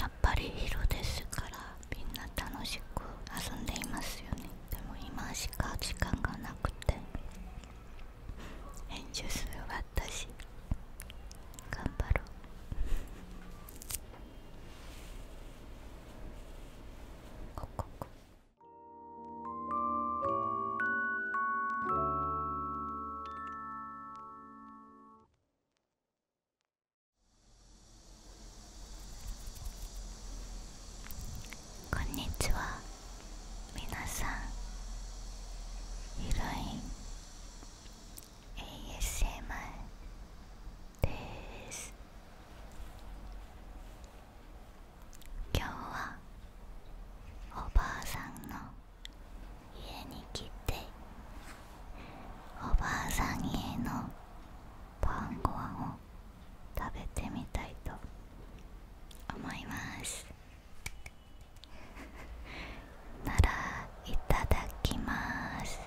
やっぱり昼ですからみんな楽しく遊んでいますよねでも今しか時間がなくて編集する私頑張ろうここここんにちは皆さんヒロイ ASMR です今日はおばあさんの家に来ておばあさん家の晩ご飯を食べてみたいと思います ならいただきます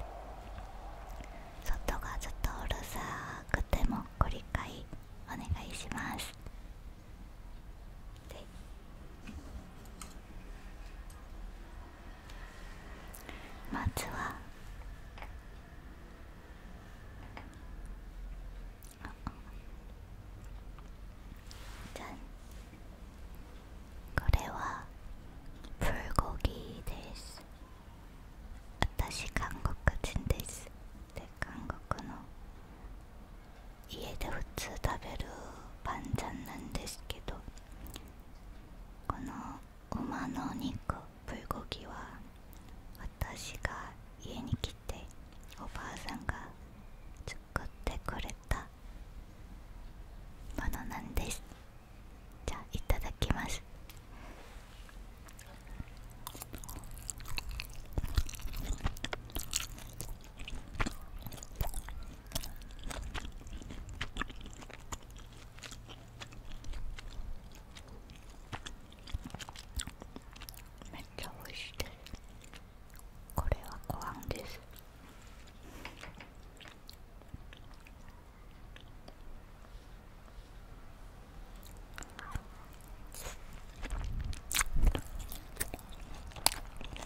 外がちょっとうるさくてもご理解お願いしますでまずはじゃこれはプルゴギーです私韓国人ですで韓国の家で普通食べるパンちゃんなんですけどこの馬のお肉プルコギは私が家に来ておばあさんが作ってくれたものなんですじゃあいただきますめっちゃ美味しいでこれはご飯です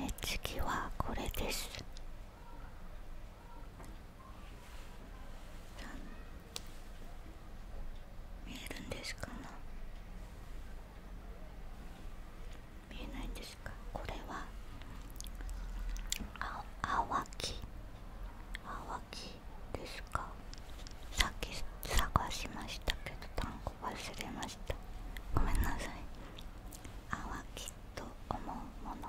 で次はこれです。見えるんですかな見えないんですかこれはあ泡木泡木ですかさっき探しましたけど単語忘れましたごめんなさい泡木と思うもの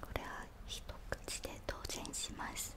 これは一口で当然します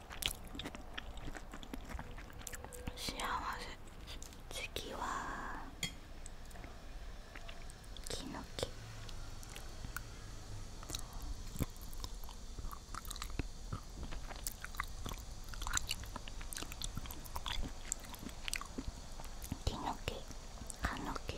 幸せ次はキノケ。木ノケ。かノケ。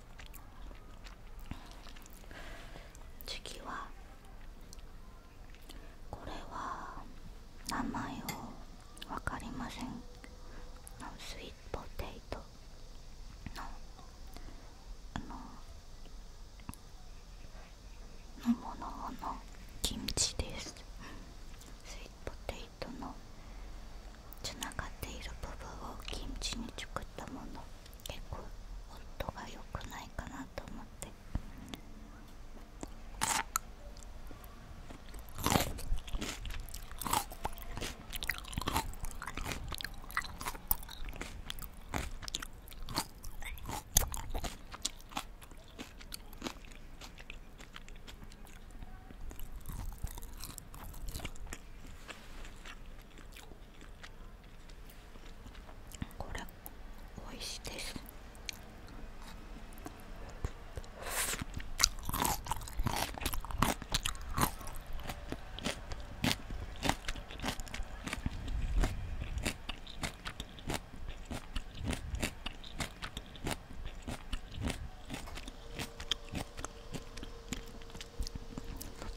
次はこれは名前を分かりませんスイートポテイトのあののもののキムチですスイートポテイトのつながっている部分をキムチに作ったもの結構音が良くないかなと思って。これ美味しいです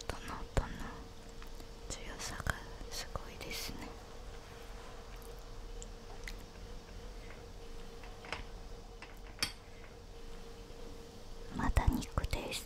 トの音の強さがすごいですねまだ肉です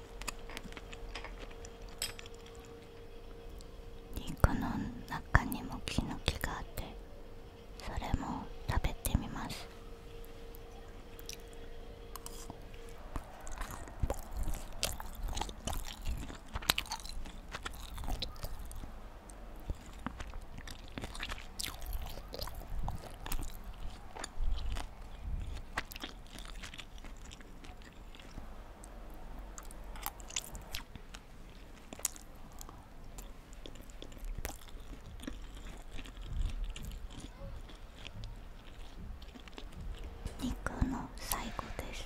肉の中にもキノキがあってそれも食べてみます肉の最後です。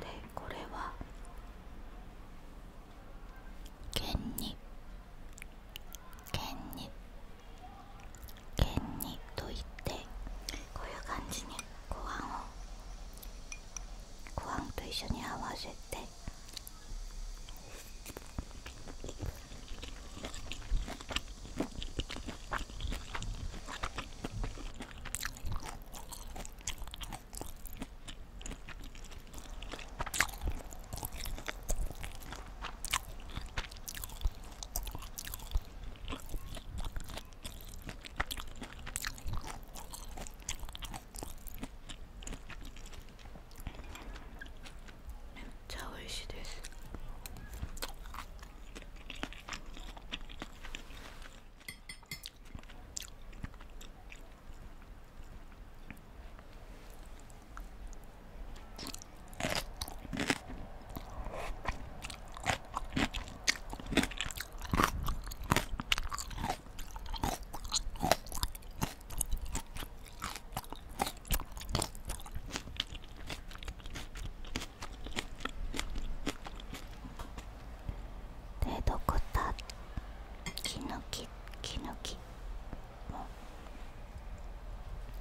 でこれは剣に剣に剣にといってこういう感じにご飯をご飯と一緒に合わせてめっちゃ美味しいですでどこたキノキ、キノキ。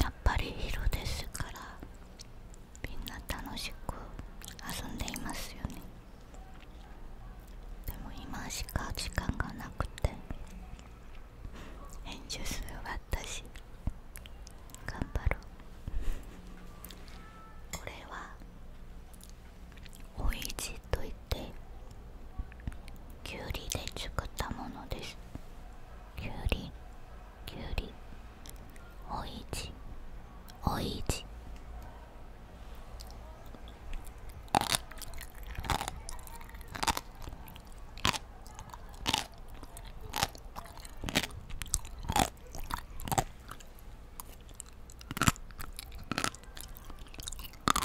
やっぱり色ですからみんな楽しく遊んでいますよねでも今しか時間がなくて編集する私頑張るこれはおいじといってきゅうりで作ったものですちきゅうりんきゅうりおいちおいち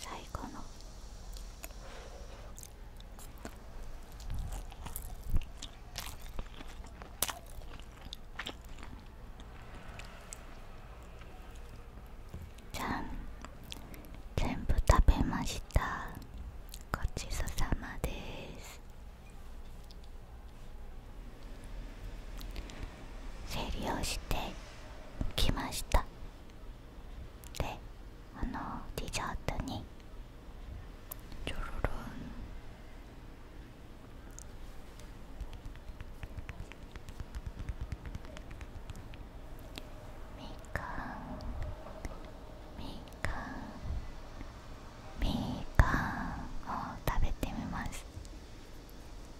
最後のじゃん全部食べましたごちそうさまです整理をしてきましたであのディジャートにちょろろん。みかんみかんみかんを食べてみます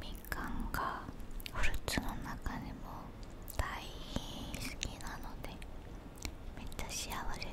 みかんがフルーツの中でも大好きなのでめっちゃ幸せですうん。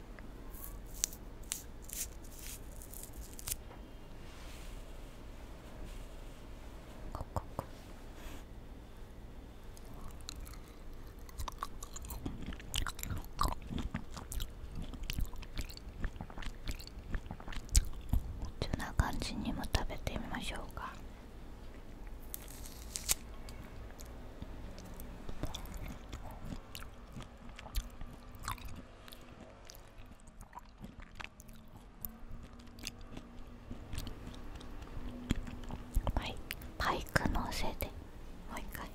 こここそんな感じにも食べてみましょうか。はいパイクのせいでもう一回。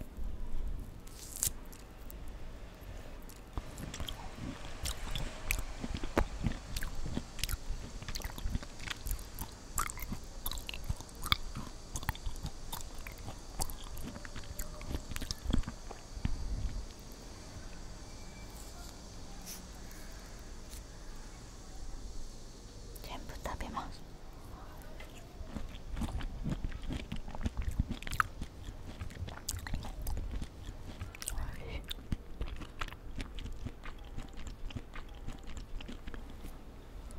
全部食べます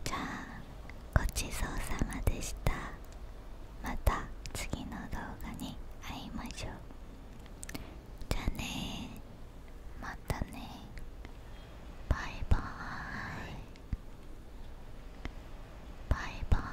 じゃあごちそうさまでしたまた次の動画に会いましょうじゃあねまたねバイバーイバイバーイ